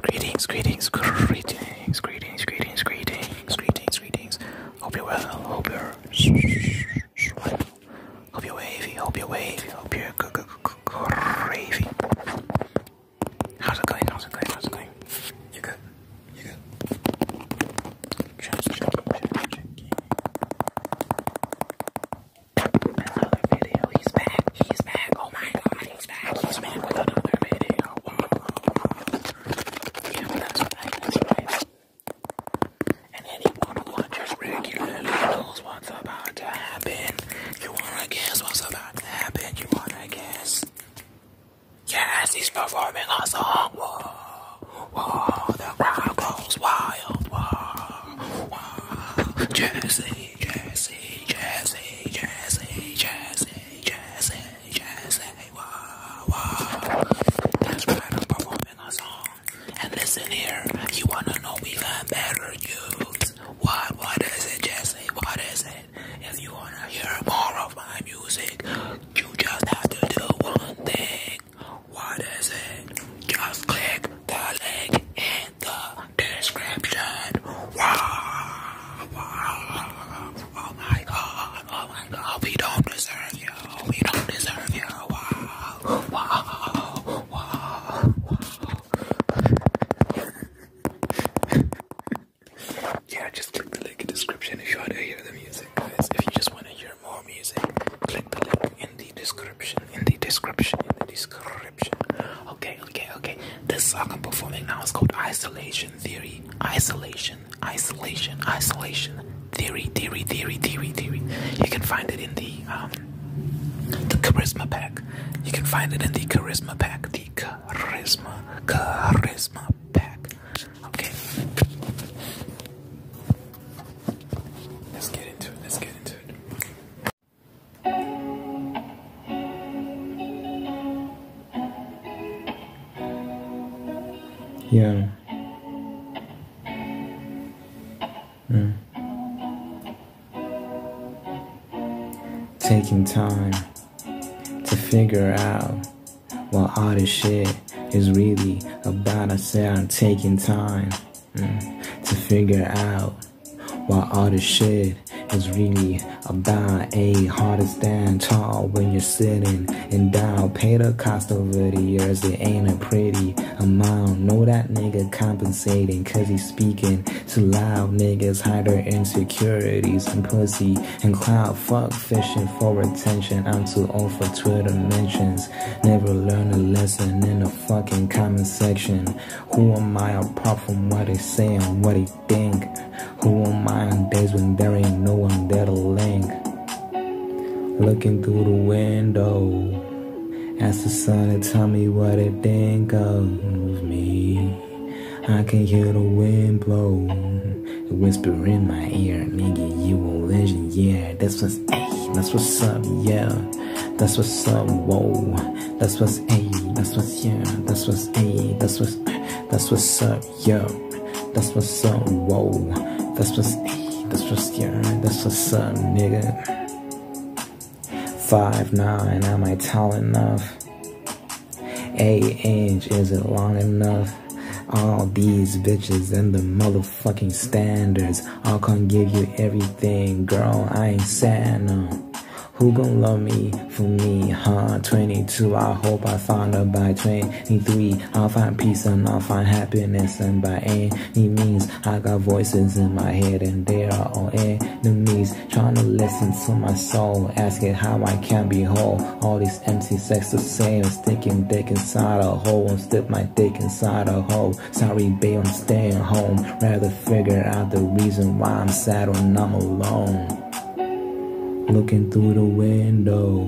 Greetings, greetings, greetings, greetings, greetings, greetings, greetings, greetings. Hope you're well, hope you're hope you're wavy, hope you're wavy, hope you're gravy. How's it going? How's it going? How's it going? You good? You good? Just checking, checking, checking another video. He's back. He's back. Oh my god, he's back. He's back with another video. Wow. Yeah, that's right. That's right. And anyone who watches regularly knows what's about to happen. You wanna guess what's about to happen? You wanna guess? Yes, he's performing a song. Whoa, whoa, the crowd goes wild. Whoa. Jazzy, jazzy, jazzy, jazzy, jazzy, jazzy, jazzy, wow, wow. That's right, I'm performing a song. And listen here, you wanna know we got better news. What, what is it, Jazzy? What is it? If you wanna hear more of my music, you just have to do one thing. What is it? Just click the link in the description. Wow. Oh my god, oh my god, we don't deserve you. We don't deserve you. Wow. Wow. Wow. Wow. yeah, just click the link in the description if you want to hear the music, guys. If you just want to hear more music, click the link in the. In the description. In the description. In the description. Okay, okay, okay. This song I'm performing now is called Isolation Theory. Isolation. Isolation. Isolation. Theory. Theory. Theory. Theory. Theory. You can find it in the um the charisma pack. You can find it in the charisma pack. The charisma. Charisma pack. Okay. Let's get into it. Let's get into it. Yeah. Mm. Taking time to figure out what all this shit is really about. I say I'm taking time mm, to figure out while all this shit is really about a harder stand tall when you're sitting and down. Pay the cost over the years, it ain't a pretty amount. Know that nigga compensating, cause he's speaking to loud niggas, hide their insecurities and pussy and cloud. Fuck fishing for attention, I'm too old for Twitter mentions. Never learn a lesson in fucking comment section. Who am I apart from what they say and what they think? Who am I on days when there ain't no one there to link? Looking through the window. Ask the sun and tell me what it think of me. I can hear the wind blow. Whisper in my ear, nigga, you a legend, yeah. That's what's, that's what's up, yeah. That's what's up, whoa. That's what's a. That's what's yeah. That's what's a. That's what's. That's what's up, yo. That's what's up, whoa. That's what's a. That's what's yeah. That's what's up, nigga. Five nine, am I tall enough? A inch, is it long enough? All these bitches and the motherfucking standards I'll come give you everything, girl. I ain't sad, no. Who gon' love me for me, huh? 22, I hope I find her by 23. I'll find peace and I'll find happiness, and by any means, I got voices in my head, and they are all enemies. Trying to listen to my soul, asking how I can be whole. All these empty sex the same, sticking dick inside a hole, and stick my dick inside a hole. Sorry, babe, I'm staying home. Rather figure out the reason why I'm sad when I'm alone. Looking through the window,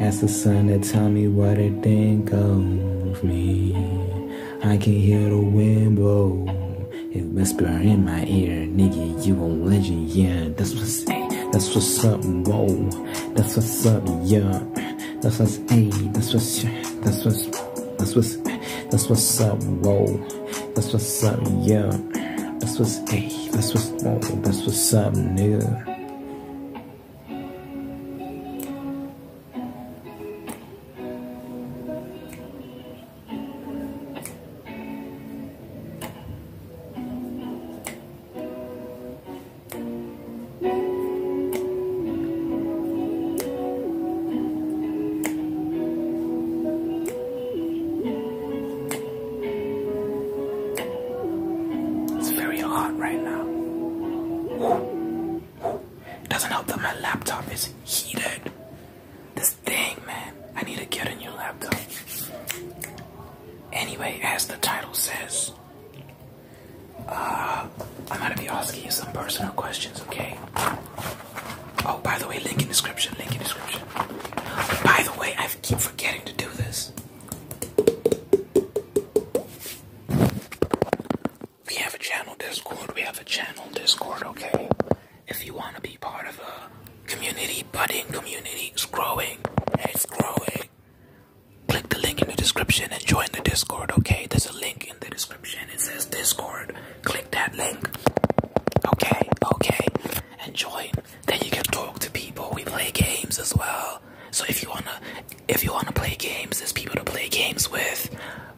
ask the sun to tell me what it think of me. I can hear the wind blow, it whisper in my ear, nigga, you a legend, yeah. That's what's that's what's up, bro. That's what's up, yeah. That's what's a That's what's that's what's that's what's. That's what's up, roll. That's what's up, yeah. That's what's a. That's what's up. That's what's up, new. It's very hot right now. It doesn't help that my laptop is heated. This thing, man. I need to get a new laptop. Anyway, as the title says, uh, I'm gonna be asking you some personal questions, okay? Oh, by the way, link in description, link in description. By the way, I keep forgetting to do this. We have a channel Discord, we have a channel Discord, okay? If you wanna be part of a community, budding community, it's growing, it's growing. Click the link in the description and join the Discord, okay? There's a link in the description. It says Discord click that link. Okay, okay, Enjoy. Then you can talk to people. We play games as well. So if you wanna, if you wanna play games, there's people to play games with.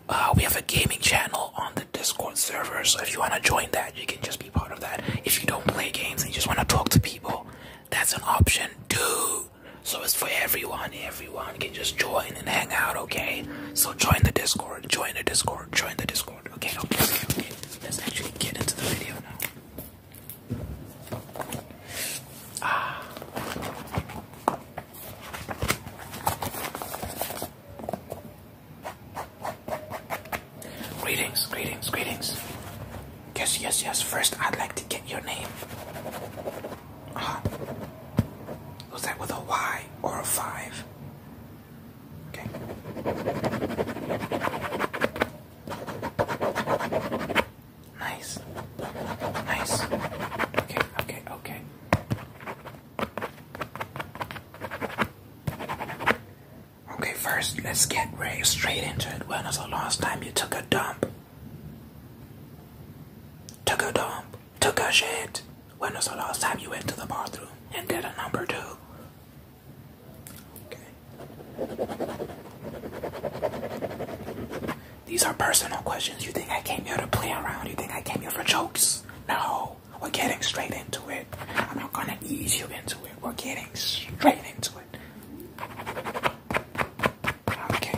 Uh, we have a gaming channel on the Discord server. So if you wanna join that, you can just be part of that. If you don't play games and you just wanna talk to people, that's an option too. So it's for everyone. Everyone everyone can just join and hang out, okay? So join the Discord, join the Discord, join the Discord. Okay, okay, okay, Let's actually get into the video now. Ah. Greetings, greetings, greetings. Yes, yes, yes. First, I'd like to get your name. Uh Was that with a Y or a 5? Okay. Nice. Nice. Okay, okay, okay. Okay, first let's get right straight into it. When was the last time you took a dump? Took a dump took a shit. When was the last time you went to the bathroom and did a number two? Okay. These are personal questions. You think I came here to play around? You think I came here for jokes? No. We're getting straight into it. I'm not gonna ease you into it. We're getting straight into it. Okay, okay.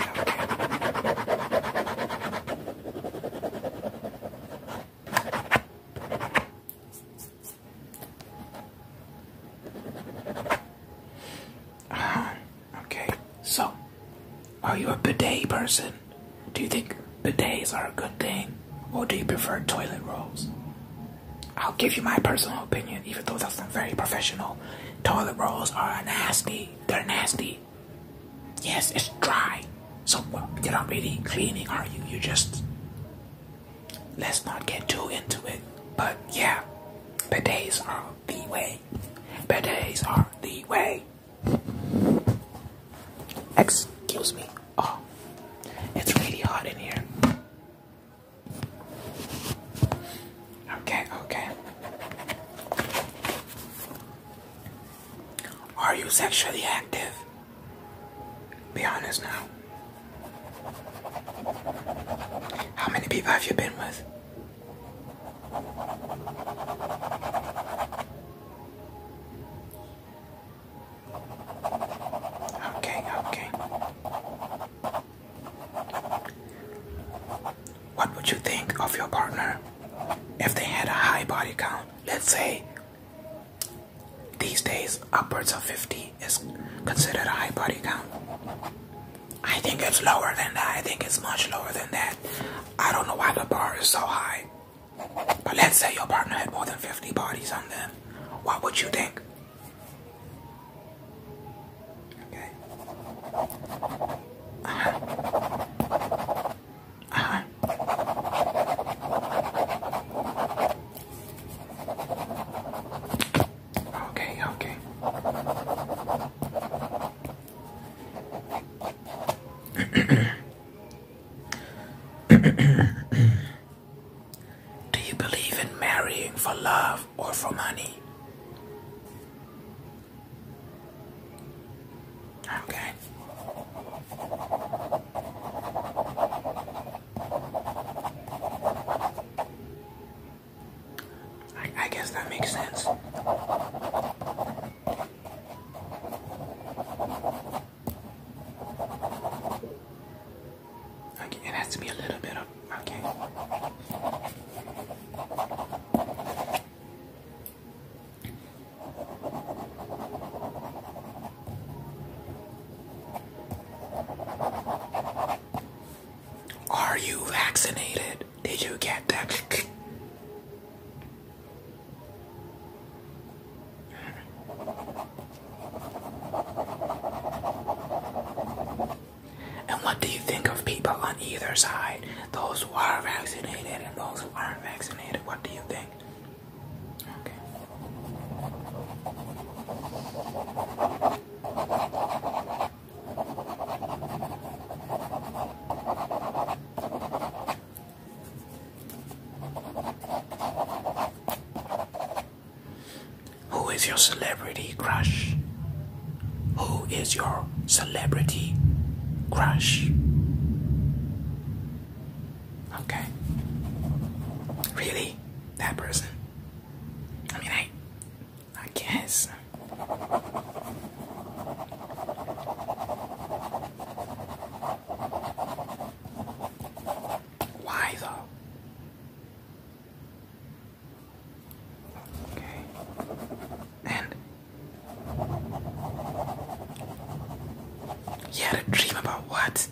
Uh-huh. okay, so are you a bidet person? Do you think bidets are a good thing, or do you prefer toilet rolls? I'll give you my personal opinion, even though that's not very professional. Toilet rolls are nasty. They're nasty. Yes, it's dry. So well, you're not really cleaning, are you? You just let's not get too into it. But yeah, bidets are the way. Bidets are the way. Excuse me. Oh, it's really hot in here. Okay, okay. Are you sexually active? Be honest now. How many people have you been with? Okay, okay. What would you think of your partner if they had a high body count? Let's say these days, upwards of 50 is considered a high body count. I think it's lower than that. I think it's much lower than that. I don't know why the bar is so high. But let's say your partner had more than 50 bodies on them. What would you think? Okay. Okay, okay. Do you believe in marrying for love or for money? Okay. I, guess that makes sense. Okay, it has to be a little bit of okay. Are you vaccinated? Did you get that? And what do you think of people on either side? Those who are vaccinated and those who aren't vaccinated, what do you think? Who is your celebrity crush? Who is your celebrity crush? Okay. Really? That person? I mean, I. I guess. Why though? Okay. And you had a dream about what?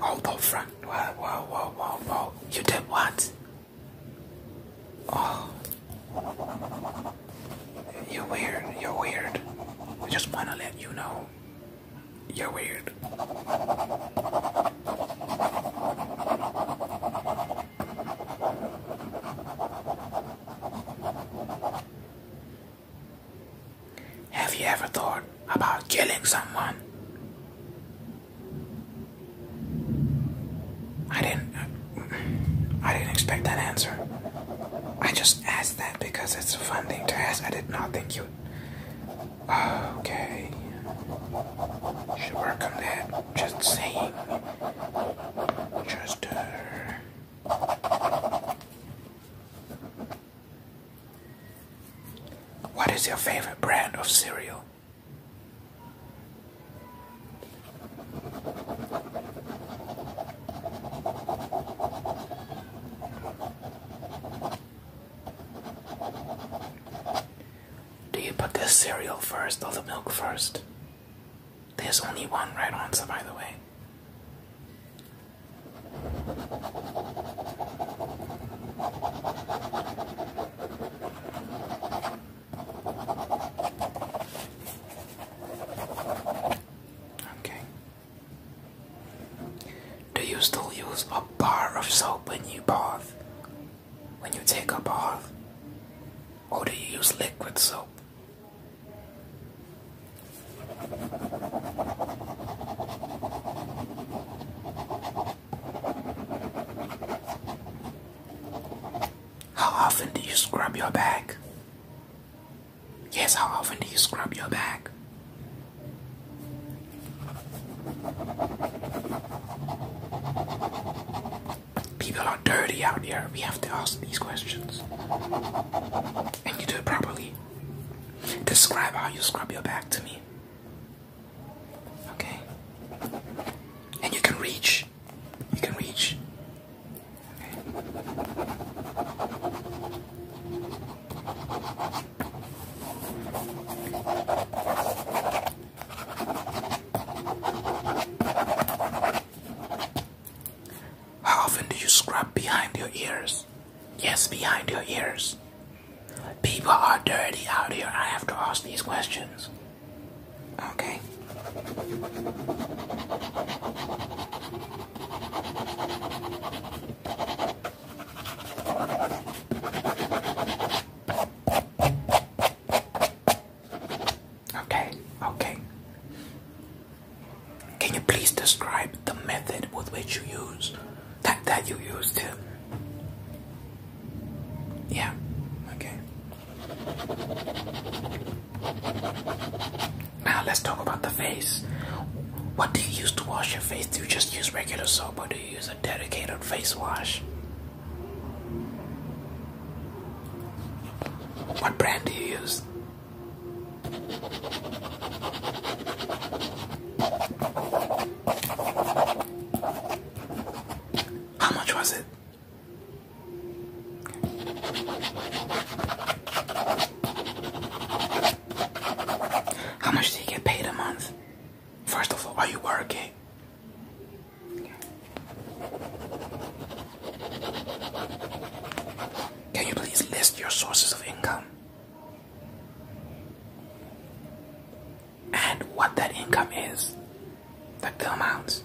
Hold oh, on, Frank. Wow, wow, wow, wow, wow. You did what? Oh. You're weird. You're weird. I just wanna let you know. You're weird. Have you ever thought about killing someone? I didn't I didn't expect that answer. I just asked that because it's a fun thing to ask. I did not think you Okay. Should work on that. Just saying. Just uh, What is your favorite brand of cereal? Do you put the cereal first or the milk first? There's only one right answer, by the way. Okay. Do you still use a bar of soap when you bath? When you take a bath? Or do you use liquid soap? How often do you scrub your back? Yes, how often do you scrub your back? People are dirty out here. We have to ask these questions. And you do it properly. Describe how you scrub your back to me. Okay? And you can reach. You can reach. How often do you scrub behind your ears? Yes, behind your ears. People are dirty out here. I have to ask these questions. Okay. Okay, okay. Can you please describe the method with which you use that that you use to? Yeah, okay. Now let's talk about the face. What do you use to wash your face? Do you just use regular soap or do you use a dedicated face wash? What brand do you use? How much was it? How much do you get paid a month? First of all, are you working? Can you please list your sources of income and what that income is, like the amounts?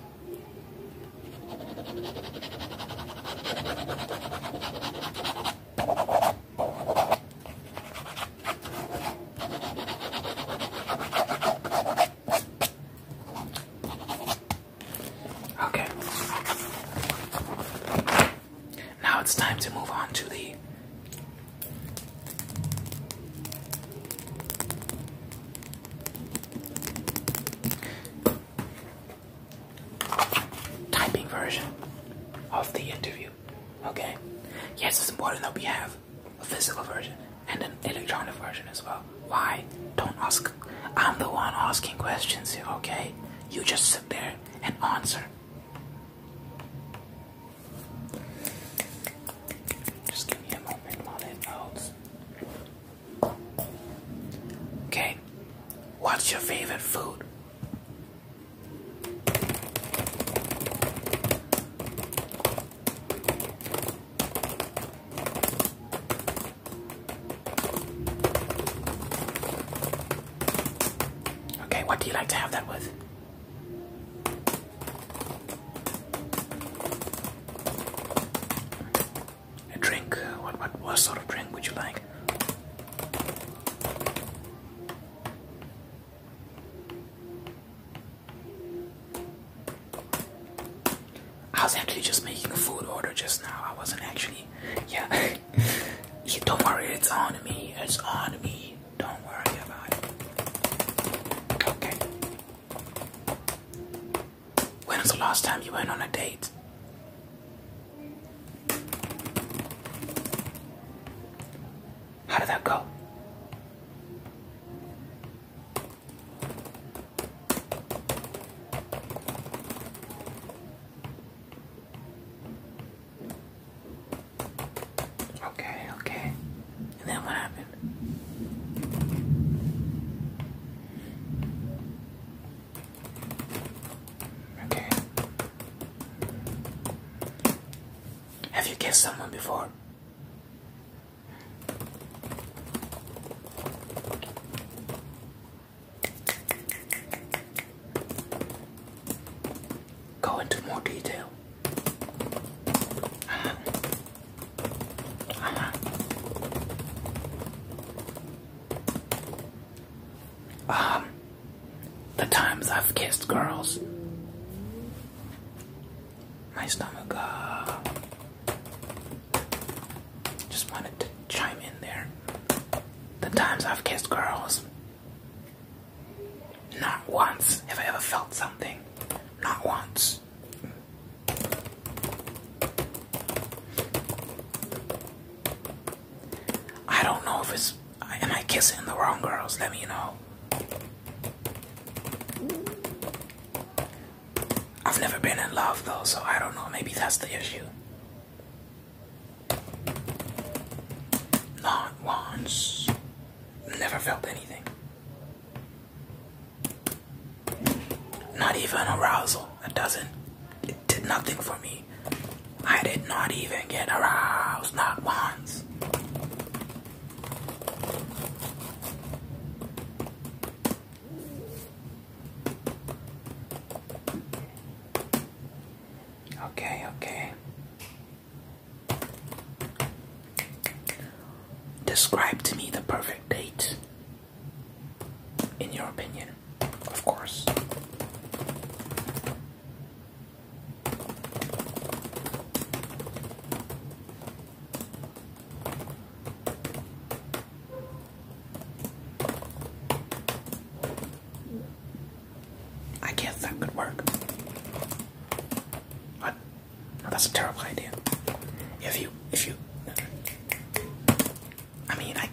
Okay. Now it's time to move on to the typing version of the interview. Okay. Yes, it's important that we have a physical version and an electronic version as well why? Don't ask. I'm the one asking questions okay? You just sit there and answer. Just give me a moment while it loads. Okay, what's your favorite food? Okay, what do you like to have that with? A drink. What, what, what sort of drink would you like? I was actually just making a food order just now. I wasn't actually. Yeah. don't worry, it's on me. It's on me. Don't worry about it. Okay. When was the last time you went on a date? How did that go? Okay, okay. And then what happened? Okay. Have you kissed someone before? Go into more detail. Uh um, -huh. Uh the times I've kissed girls, my stomach, uh, just wanted to chime in there. The times I've kissed girls, not once have I ever felt something. Not once. I don't know if it's. Am I kissing the wrong girls? Let me know. I've never been in love though, so I don't know. Maybe that's the issue. Not once. Never felt anything. Not even arousal. It doesn't. It did nothing for me. I did not even get aroused. Not once. Okay, okay. Describe to me the perfect date, in your opinion, of course. I guess that could work. What? That's a terrible idea. If you, if you, I mean, I.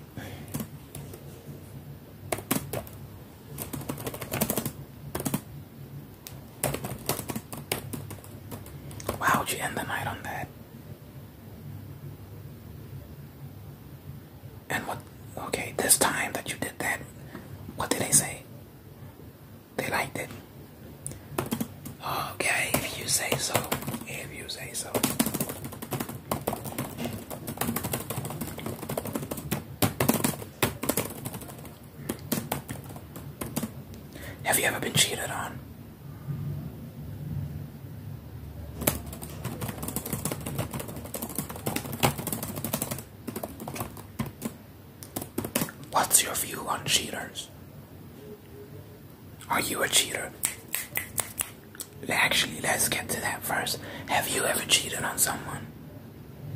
Why would you end the night on that? And what, okay, this time that you did that, what did they say? They liked it. Okay, if you say so, if you say so. Have you ever been cheated on? What's your view on cheaters? Are you a cheater? Actually, let's get to that first. Have you ever cheated on someone?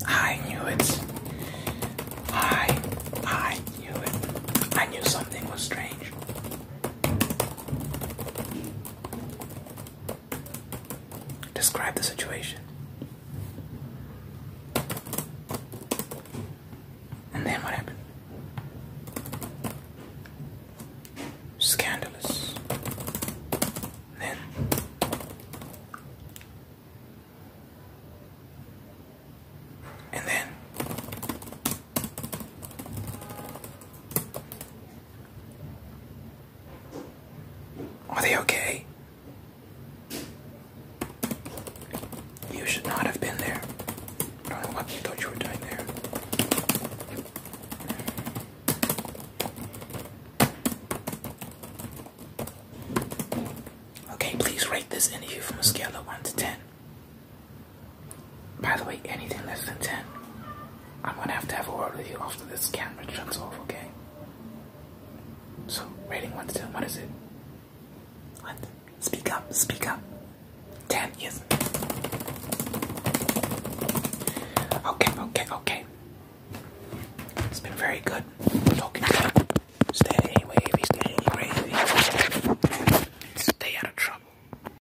I knew it. I, I knew it. I knew something was strange. Describe the situation. And then what happened? Scandalous. Then and then are they okay? You should not have been there. don't know what you thought you were doing there. Okay, please rate this interview from a scale of 1 to 10. By the way, anything less than 10, I'm gonna have to have a word with you after this camera turns off, okay? So, rating 1 to 10, what is it? What? Speak up, speak up. 10, yes. Okay, okay, okay. It's been very good talking to you. Stay wavy, stay out of trouble.